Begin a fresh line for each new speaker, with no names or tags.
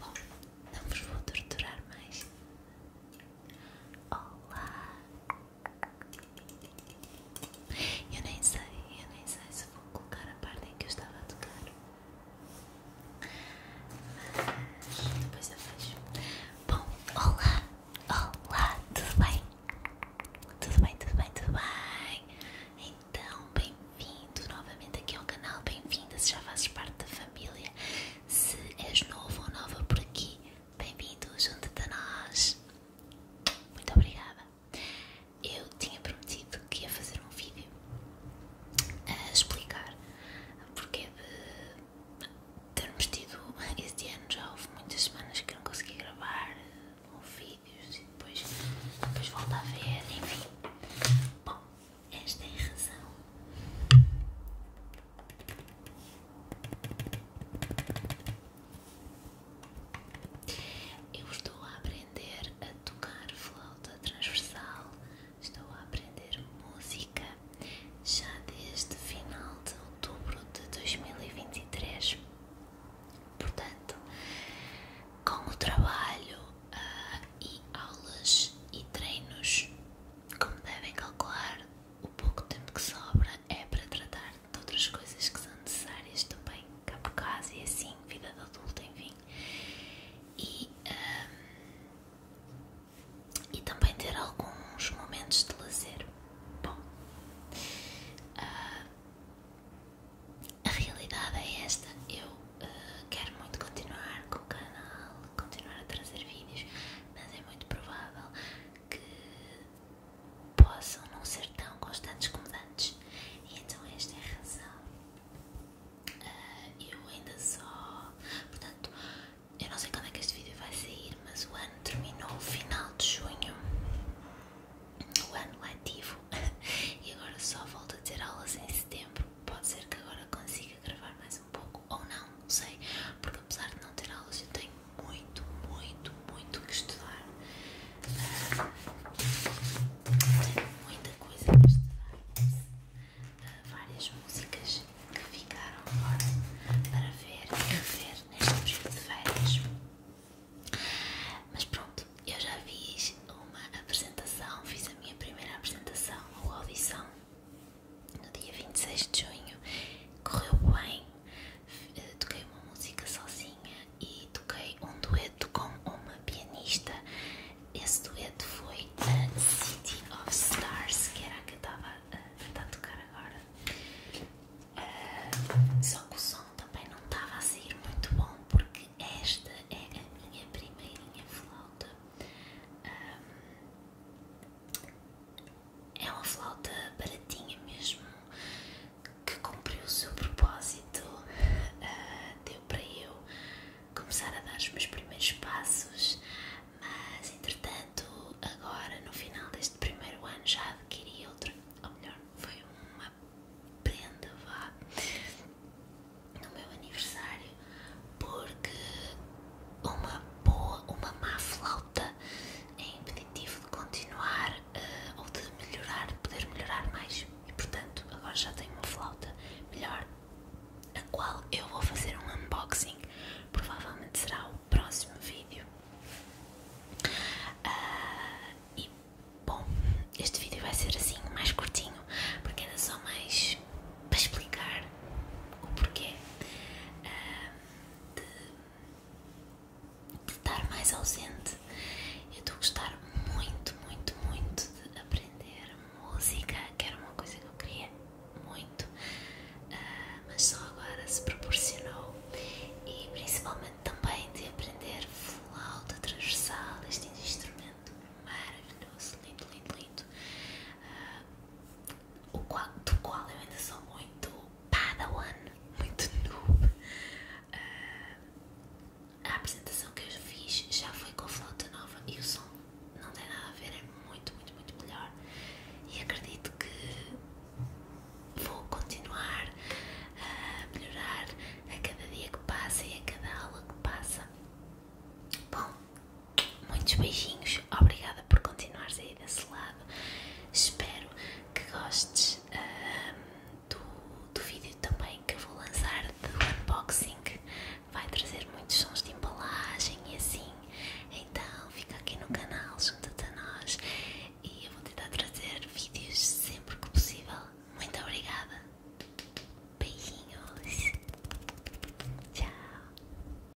Bom, não vos vou torturar mais. Olá! Eu nem sei, eu nem sei se vou colocar a parte em que eu estava a tocar. Depois eu vejo. Bom, olá, olá, tudo bem? Tudo bem, tudo bem, tudo bem? Então, bem-vindo novamente aqui ao canal, bem-vinda se já fazes parte da família. Se és novo ou nova por aqui, bem-vindo junto a nós. Muito obrigada. Eu tinha prometido que ia é fazer um vídeo a explicar porque de termos tido este ano já houve muitas semanas que não consegui gravar houve vídeos e depois, depois volto a ver, enfim. Bom, esta é a razão. Eu estou a aprender a tocar flauta transversal Estou a aprender música já desde final de outubro de 2023. Portanto, com o trabalho ah, e aulas e treinos, como devem calcular, o pouco tempo que sobra é para tratar de outras coisas que são necessárias também, cá por casa e assim, vida de adulta, enfim e, também ter alguns momentos de lazer. Bom, ah, a realidade é esta. Eu ah, quero muito continuar com o canal, continuar a trazer vídeos, mas é muito provável que possam não ser tão constantes como antes. então esta é a razão eu ainda só. Portanto, eu não sei quando é que este vídeo vai sair, mas o ano terminou final de junho, o ano letivo, é e agora só volto a ter aulas em setembro. Pode ser que agora consiga gravar mais um pouco, ou não, não sei, porque apesar de não ter aulas, eu tenho muito, muito, muito que estudar. Tem muita coisa para várias músicas que ficaram agora para ver e rever neste período de férias. Mas pronto, eu já fiz uma apresentação, fiz a minha primeira apresentação ou audição no dia 26 de junho, correu bem toquei uma música sozinha e toquei um dueto com uma pianista. Esse dueto foi a City of Stars, que era a que eu estava a, a tocar agora. Ah, só que o som também não estava a sair muito bom, porque esta é a minha primeira flauta. Ah, é uma flauta baratinha mesmo, que cumpriu o seu propósito, ah, deu para eu começar a dar os meus primeiros passos, mas entretanto, agora no final deste primeiro ano já adquiri outra, ou melhor, foi uma prenda no meu aniversário, porque uma boa, uma má flauta é impeditivo de continuar eh, ou de melhorar, de poder melhorar mais. E portanto, agora já tenho uma flauta melhor, a qual eu vou fazer um unboxing. Provavelmente será o próximo vídeo. Ah, e bom, este vídeo vai ser assim, mais curtinho, porque era só mais para explicar o porquê ah, estar mais ausente. Eu estou a gostar muito, muito, muito de aprender música, que era uma coisa que eu queria muito, ah, mas só agora se proporcionou e principalmente também de aprender flauta transversal, este instrumento maravilhoso, lindo, lindo, lindo. Ah, o qual, do qual eu ainda sou muito padawan, muito noob. Ah, a apresentação que eu fiz já foi com flauta nova e o som não tem nada a ver, é muito, muito, muito melhor. E acredito que vou continuar a melhorar a cada dia que passa e a cada aula que passa. Bom, muitos beijinhos, obrigada por continuares aí desse lado. Espero que gostes do, do vídeo também que eu vou lançar de unboxing. Vai trazer muitos sons de embalagem e assim. Então fica aqui no canal, junta-te a nós e eu vou tentar trazer vídeos sempre que possível. Muito obrigada. Beijinhos. Tchau.